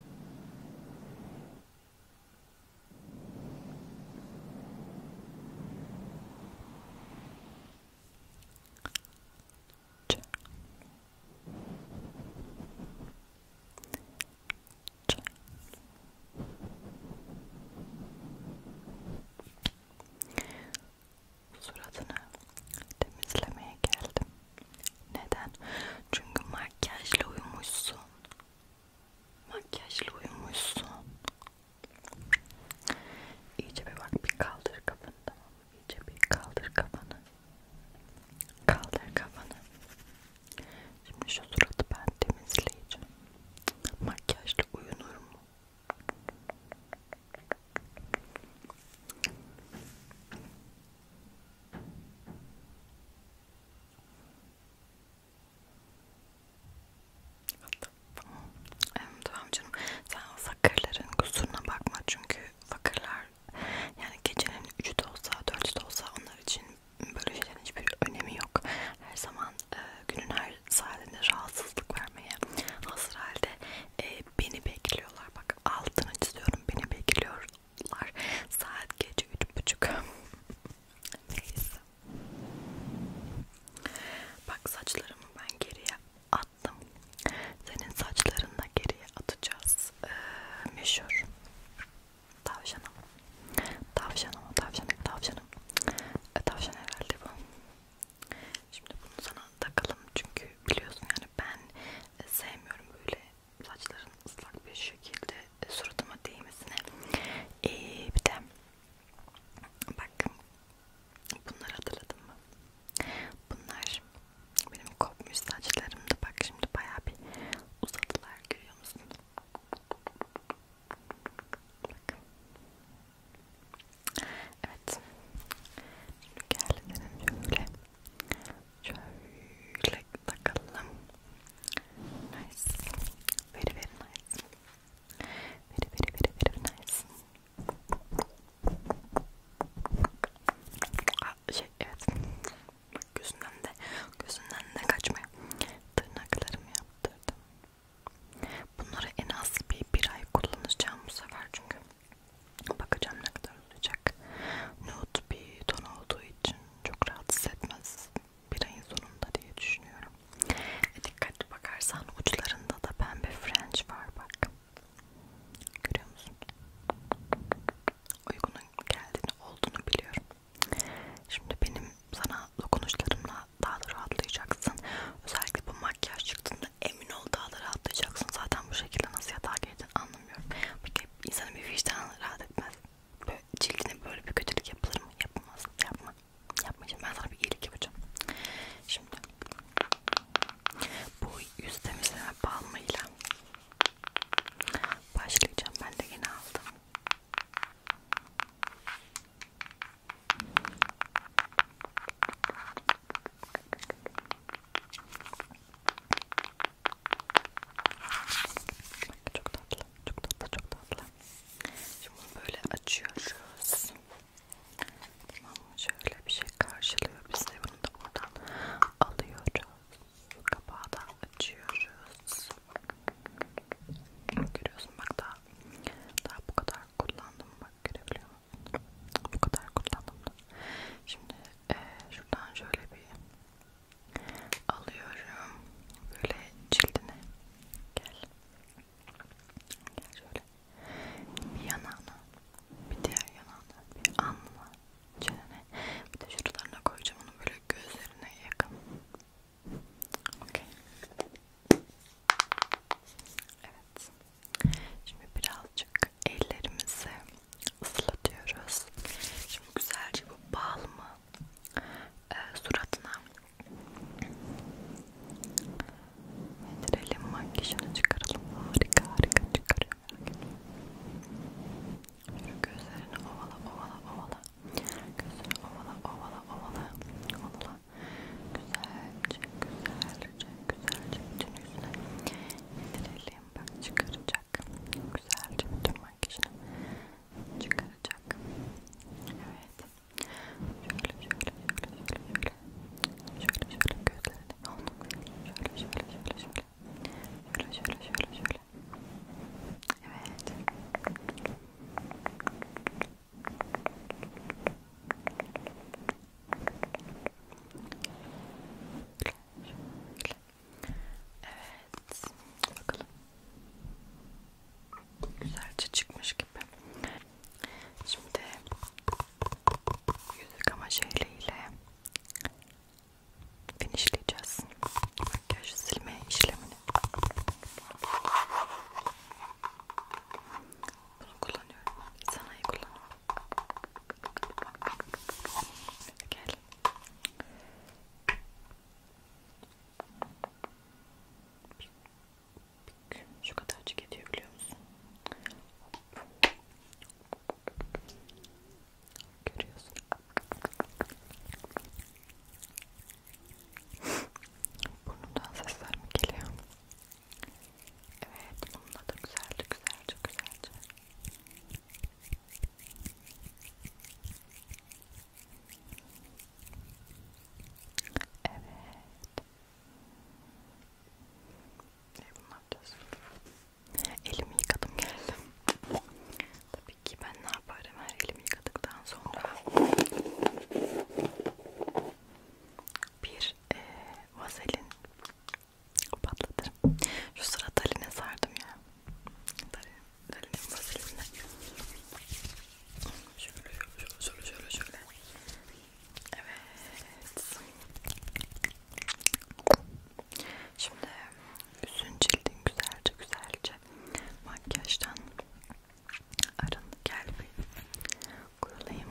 Ç Ç Suratını temizlemeye geldim. Neden? Çünkü makyajla uyumuşsun. Makyajla uyumuşsun. İyice bir bak bir kaldır kafanı tamam mı? İyice bir kaldır kafanı. Kaldır kafanı. Şimdi şu suratı ben temizleyeceğim. Makyajla uyunur mu? Tamam canım sen fakirlerin kusuruna bakma çünkü fakirler yani gecenin üçü de olsa dörtü de olsa onlar için böyle şeylerin hiçbir önemi yok. Her zaman e, günün her saatinde rahatsızlık vermeye hazır halde e, beni bekliyorlar. Bak altını çiziyorum beni bekliyor Bunlar saat gece üç buçuk. Neyse. Bak saçlarımı ben geriye attım. Senin saçlarını da geriye atacağız. Ee, meşhur. Tavşanım. Tavşanım, tavşanım, tavşanım. E, tavşan herhalde bu. Şimdi bunu sana takalım çünkü biliyorsun yani ben e, sevmiyorum böyle saçların ıslak bir şekilde e, suratıma değmesine ee, bir de bakın bunları hatırladın mı? Bunlar benim kopmuş saçlarımdı. Bak şimdi bayağı bir uzadılar görüyor musun? Bakın. Evet. Şimdi geldim şöyle Şöyle takalım. Nice. Very very nice. Very very very very nice. Aa, şey evet. Bak gözünden de gözünden de kaçmıyor. Tırnaklarımı yaptırdım. Bunları en az bir, bir ay kullanacağım bu sefer çünkü Bakacağım ne kadar olacak. Nude bir ton olduğu için çok rahatsız etmez bir ayın sonunda diye düşünüyorum. E dikkatli bakarsan uçlarında da pembe french var bak. Görüyor musun? Uygunun geldiğini olduğunu biliyorum. Şimdi benim sana dokunuşlarımla daha da rahatlayacaksın. Özellikle bu makyaj çıktığında emin ol daha da rahatlayacaksın. Zaten bu şekilde nasıl yatağa girdin anlamıyorum. Peki insanın bir vicdanı rahat etmez. Böyle cildine böyle bir kötülük yapılır mı? Yapamaz. Yapma. Yapmayacağım. Ben sana bir iyilik yapacağım. Şimdi bu yüz temizleme balmıyla başlayacağım. Ben de yeni aldım. Çok tatlı, çok tatlı, çok tatlı. Şimdi bunu böyle açıyoruz. Tamam Şöyle bir şey karşılıyor bize. Bunu da buradan alıyoruz. Kapağı da açıyoruz. Görüyorsun bak daha, daha bu kadar kullandım. Bak görebiliyor musun? Bu kadar kullandım da. Şimdi ee, şuradan şöyle bir alıyorum. Böyle cildine. Gel. Gel şöyle. Bir yanağına, bir diğer yanağına, bir alnına, çenene. Bir de şuralarına koyacağım onu böyle gözlerine yakın. Okey. Evet. Şimdi biraz birazcık ellerimizi ıslatıyoruz. Şimdi güzelce bu balmı e, suratına indirelim, makyajını çıkaralım. Harika harika çıkarıyor. Şu gözlerini ovala ovala ovala. Gözlerini ovala ovala ovala. Ovala. Güzelce güzelce güzelce bütün yüzüne indirelim bakayım bak çıkaracak güzelce bütün makyajını çıkaracak evet şöyle şöyle şöyle şöyle şöyle şöyle gözlerini şöyle şöyle şöyle şöyle şöyle şöyle şöyle şöyle evet Şöyle Şöyle. Evet. Bakalım. Güzelce çıkmış gibi. Şimdi yüz yıkama şeyliyle finishleyeceğiz. Makyaj silme işlemini. Bunu kullanıyorum. Sanayi kullanıyorum. Gel. Şu kadarcık ediyor biliyor musun? Görüyorsun. Burnumdan sesler mi geliyor? Evet, bununla da güzelce, güzelce, güzelce. Evet. Ne yapacağız? Elimi yıkadım geldim. Tabii ki ben ne yaparım her elimi yıkadıktan sonra bir e, vazelin patlatırım. Şu sıra Dalin'e sardım ya. Dalin, Dalin'in vazilimle. Şöyle, şöyle, şöyle, şöyle, şöyle. Evet. Şimdi yüzün cildin güzelce güzelce makyajdan arın gel bir kurulayım.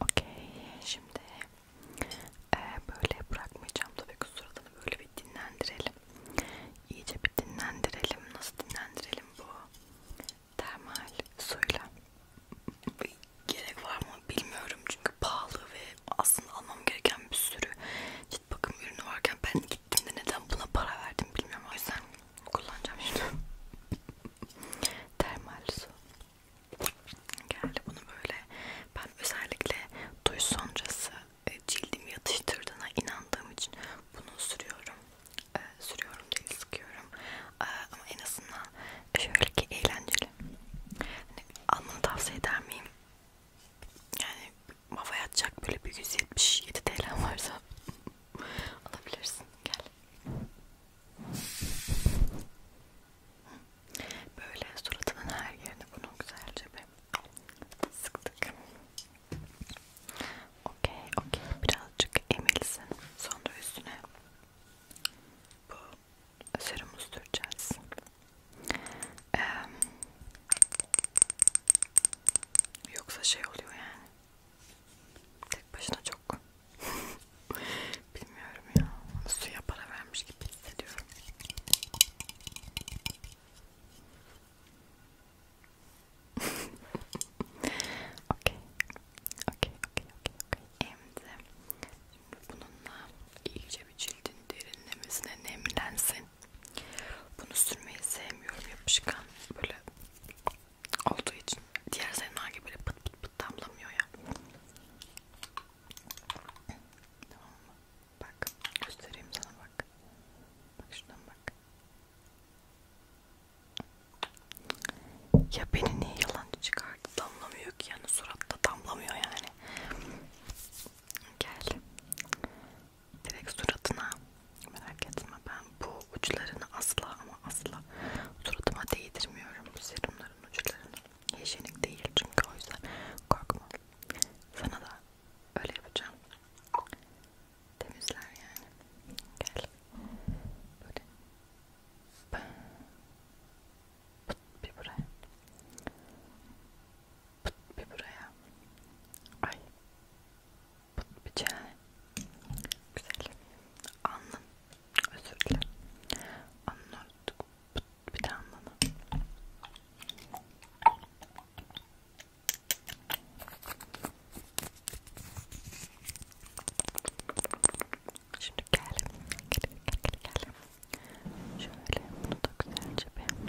Okey, şimdi e, böyle bırakmayacağım tabii ki suratını böyle bir dinlendirelim. İyice bir dinlendirelim. Nasıl dinlendirelim bu? Termal suyla. Gerek var mı bilmiyorum çünkü pahalı ve aslında almam gereken bir sürü cilt bakım ürünü varken ben gittiğimde neden buna para verdim bilmiyorum o yüzden Kullanacağım şimdi. Termal su. Geldi bunu böyle. Ben özellikle duş sonrası e, cildimi yatıştırdığına inandığım için bunu sürüyorum. Ee, sürüyorum değil sıkıyorum. Ee, ama en azından şöyle ki eğlenceli. Hani almanı tavsiye eder miyim? Yani havaya atacak böyle bir 177 TL varsa alabilirsin. Gel. Böyle suratının her yerine bunu güzelce bir sıktık. Okey, okey. Birazcık emilsin. Sonra üstüne bu serumu süreceğiz. Ee, yoksa şey oluyor yani. Tek başına çok bilmiyorum ya. Suya para vermiş gibi hissediyorum. Okey. Okey, okey, okey, okey. Şimdi bununla iyice bir cildin derinlemesine nemlensin. Bunu sürmeyi sevmiyorum. Yapışkan böyle olduğu için diğer zeynlar gibi böyle pıt pıt pıt damlamıyor ya. Tamam mı? Bak göstereyim sana bak. Bak şuradan bak. Ya beni niye yalancı çıkardı? Damlamıyor ki yani suratta damlamıyor yani. Gel. Direkt suratına Merak etme ben bu uçlarını asla ama asla suratıma değdirmiyorum bu serumların uçlarını. Hijyenik değil çünkü o yüzden korkma. Sana da öyle yapacağım. Temizler yani. Gel. Böyle. Pıt bir buraya. Pıt bir buraya. Ay. Bunun bıçağı güzel. Anlam. Özür dilerim. Anladık. Bir tane anlam. Şimdi gel. Gel gel gel. Şöyle bunu da güzelce bir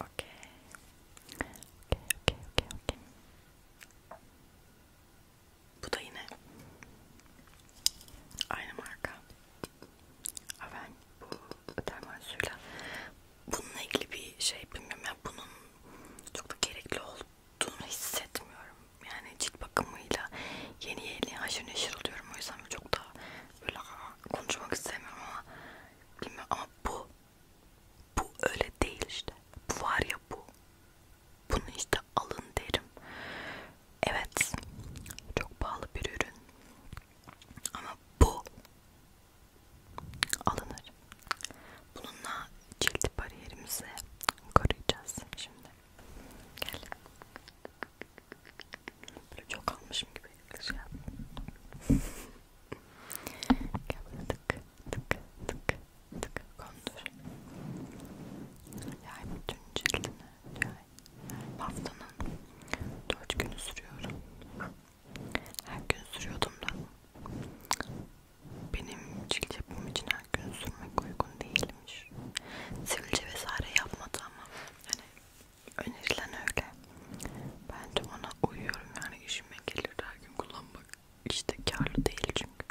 Okay. Okay, okay, okay, okay. Bu da yine aynı marka. Ben bu derman suyla bununla ilgili bir şey bilmiyorum ya yani bunun çok da gerekli olup olduğunu hissetmiyorum. Yani cilt bakımıyla yeni yeni haşır neşir oluyorum. O yüzden çok da böyle konuşmak istemiyorum ama bilmiyorum ama bu bu öyle değil işte. Bu var ya bu. Bunu işte alın derim. Evet. Çok pahalı bir ürün. Ama bu alınır. Bununla cilt bariyerimizi koruyacağız şimdi. Gel. Böyle çok almışım gibi şey yap. Gel böyle tık tık tık tık kondur. Yay bütün cildine yay. Haftanın dört günü sürüyorum. Her gün sürüyordum da. Benim cilt yapım için aynen gün sürmek uygun değilmiş. Sivilce vesaire yapmadı ama hani önerilen öyle. Ben de ona uyuyorum yani işime gelir her gün kullanmak işte karlı değil çünkü.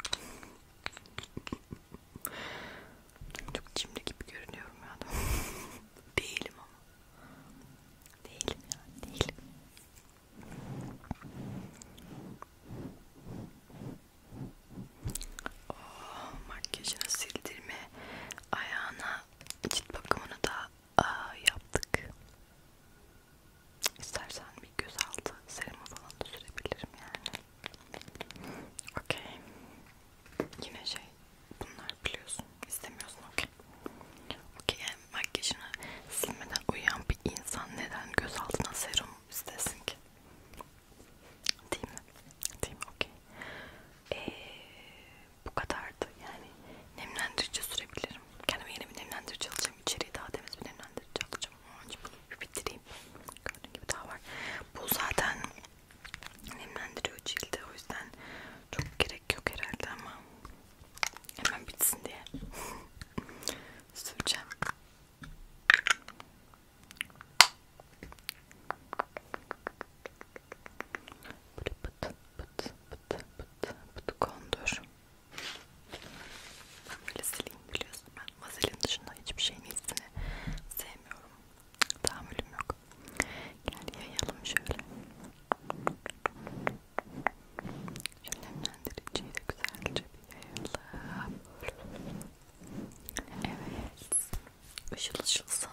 Çok cimri gibi görünüyorum ya da. değilim ama. Değilim ya değilim. Oh, makyajını sildirme, ayağına cilt bakımını da aa, yaptık. İstersen bir göz altı serumu falan da sürebilirim yani. Okey. Yine şey, bunlar biliyorsun, istemiyorsun okey. Okey yani makyajını silmeden uyuyan bir insan neden göz altına serum istesin ki? Değil mi? Değil mi? Okey. Ee, bu kadardı. Yani nemlendirici sürebilirim. Kendime yeni bir nemlendirici alacağım. İçeriye daha temiz bir nemlendirici alacağım. Önce bunu bitireyim. Gördüğün gibi daha var. Bu zaten nemlendiriyor cilde. O yüzden çok gerek yok herhalde ama hemen bitsin diye süreceğim. Böyle pıt pıt pıt pıt pıt kondur. Ben böyle sileyim biliyorsun ben vazelin dışında hiçbir şeyin iyisini sevmiyorum. Tahammülüm yok. Gel yayalım şöyle. Şöyle nemlendiriciyi de güzelce bir yayalım. Evet. Işıl ışılsın.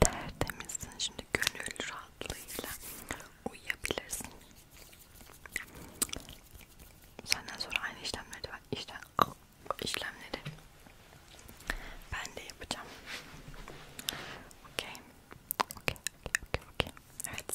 Tertemizsin. Şimdi gönül rahatlığıyla uyuyabilirsin. Senden sonra aynı işlemleri var. İşte işlemleri ben de yapacağım. Okey. Okey. Okey. Okey. Okay. Evet.